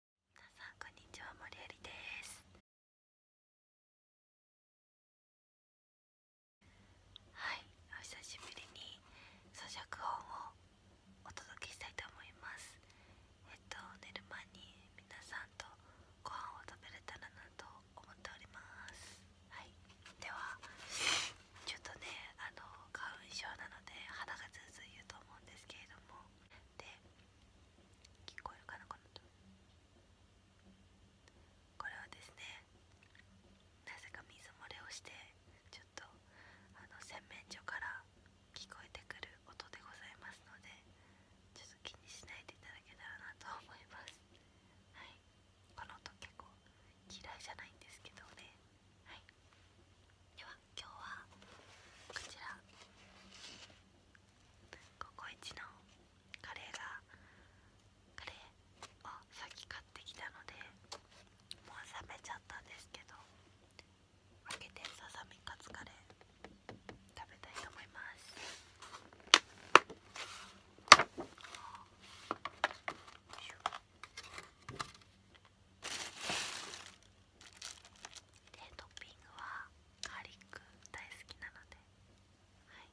皆さんこんにちは、森有です。はい、お久しぶりに咀嚼本をお届けしたいと思います。えっと寝る前に皆さんとご飯を食べれたらなと思っております。はい、ではちょっとねあの花粉症なので鼻がずうずう言うと思うんですけれどもで聞こえるかなこの音これはですねなぜか水漏れをしてちょっとあの洗面所から聞こえてくる音でございますのでちょっと気にしないでいただけたらなと思いますはいこの音結構嫌いじゃないんですけどねはいでは今日はこちらココイチのカレーがカレーをさっき買ってきたのでもう冷めちゃったんですけど開けてささみカツカレー食べたいと思いますでトッピングはガーリック大好きなのではい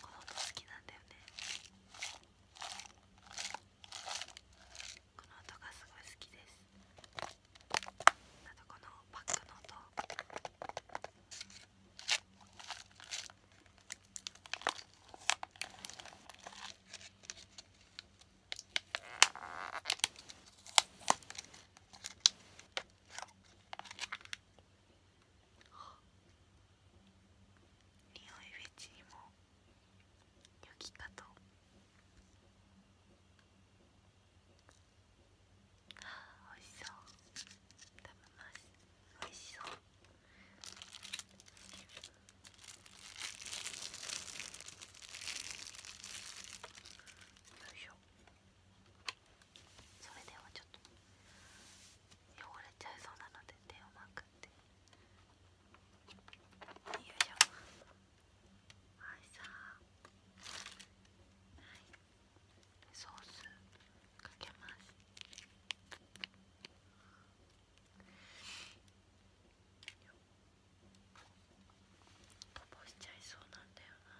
この音好きなんだよねこの音がすごい好きですあとこのパックの音はい匂いフェチにも良きかと。はあ、おいしそう食べますおいしそうよいしょそれではちょっと汚れちゃいそうなので手をまくってよいしょはいさあはいソースかけます。こぼしちゃいそうなんだよな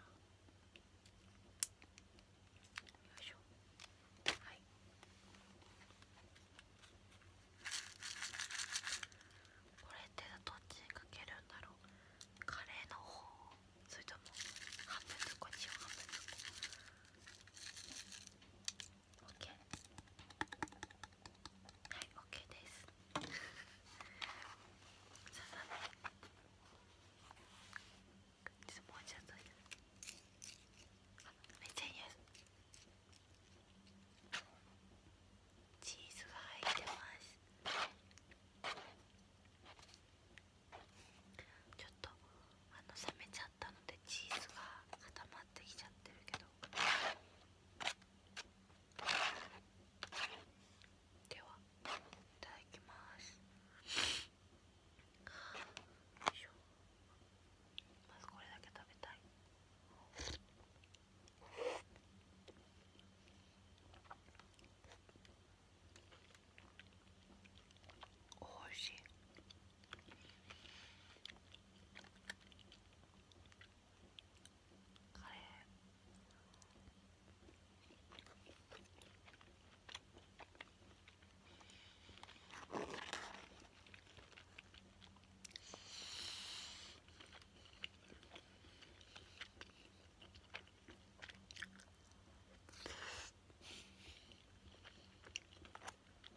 よいしょはいこれってどっちにかけるんだろうカレーの方それとも半分ずこっちを半分ずこ OK はいですそうだねちょっとちょっとあめちゃいいやつチーズが入ってますちょっとあの冷めちゃったのでチーズが固まって。まてきちゃってるけどではいただきますまずこれだけ食べたいおいしい。カレ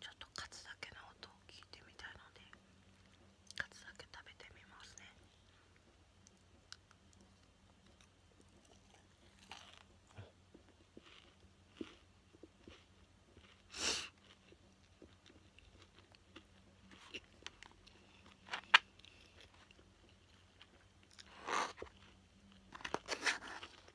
ちょっとカツだけの音を聞いてみたいのでカツだけ食べてみますねう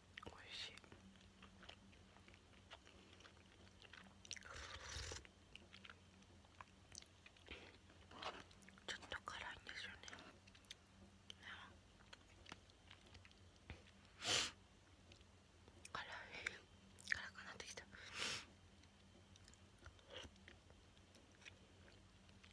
美味しいちょっと辛いんですよね辛い辛くなってきた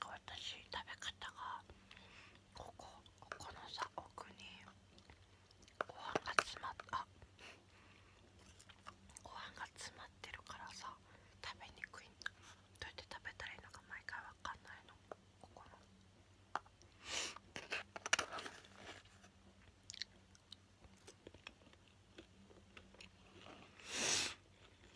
私食べ方がここここのさ奥にご飯が詰まっあご飯が詰まってるからさ食べにくいんだ。どうやって食べたらいいのか毎回わかんないのここの。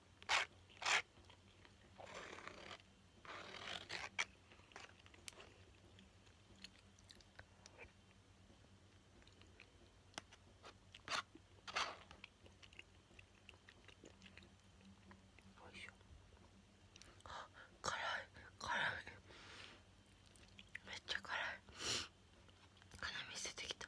辛み捨ててきた。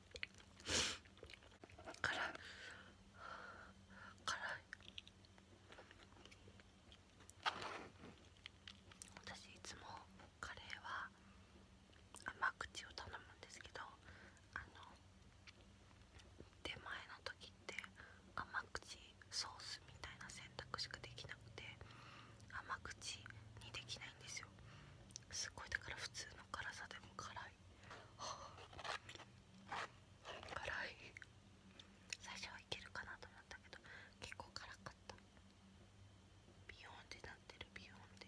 辛い辛い私いつもカレーは甘口を頼むんですけどあの出前の時って甘口ソースみたいな選択しかできなくて甘口にできないんですよすごいだから普通の辛さでも辛い、辛い最初はいけるかなと思ったけど結構辛かったビヨンってなってるビヨーンで。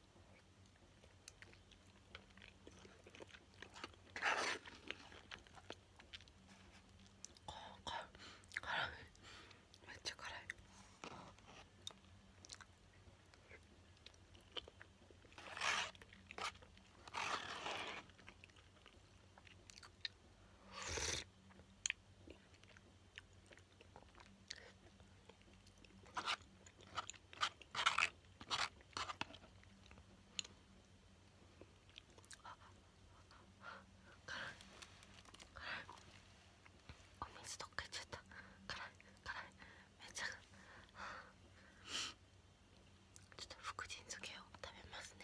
めっちゃ辛い。お水どっか行っちゃった辛い辛いめっちゃちょっと福神漬けを食べますね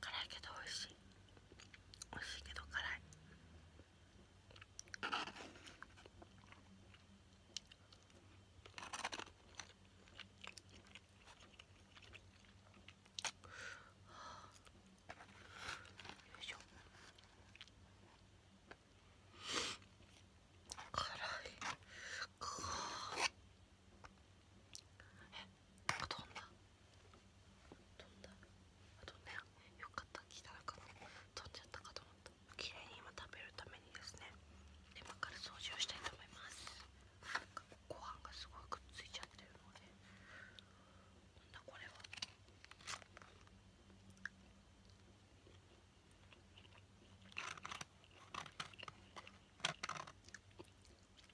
辛いけど美味しい美味しいけど辛いよいしょ辛い辛いえっ、飛んだ飛んだ飛んだよかった聞いたら、飛んじゃったかと思った綺麗に今食べるためにですね今から掃除をしたいと思いますなんかご飯がすごいくっついちゃってるのでなんだこれは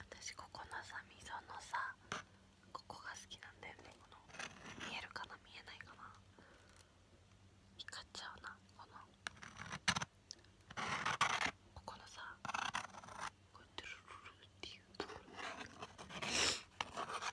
私ここのさ溝のさここが好きなんだよねこの見えるかな見えないかな光っちゃうなこのここのさこうやドゥルルルっていうところこ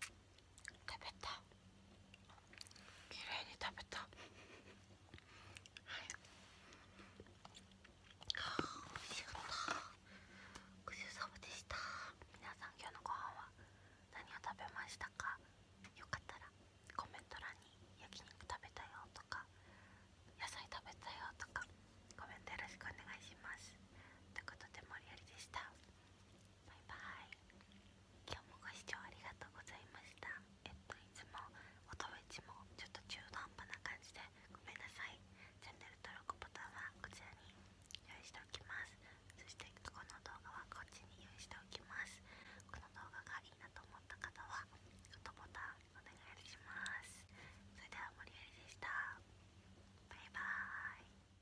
食べた綺麗に食べたはいあおいしかったごちそうさまでした皆さん今日のご飯は何を食べましたかよかったらコメント欄に焼肉食べたよとか野菜食べたよとかコメントよろしくお願いしますということで森よりでしたバイバーイ今日もご視聴ありがとうございましたえっといつも音フェもちょっと中途半端な感じでごめんなさいチャンネル登録ボタンはこちらに用意しておきますそしてこの動画はこっちに用意しておきますこの動画がいいなと思った方はグッドボタンお願いしますそれでは森有りでしたバイバーイ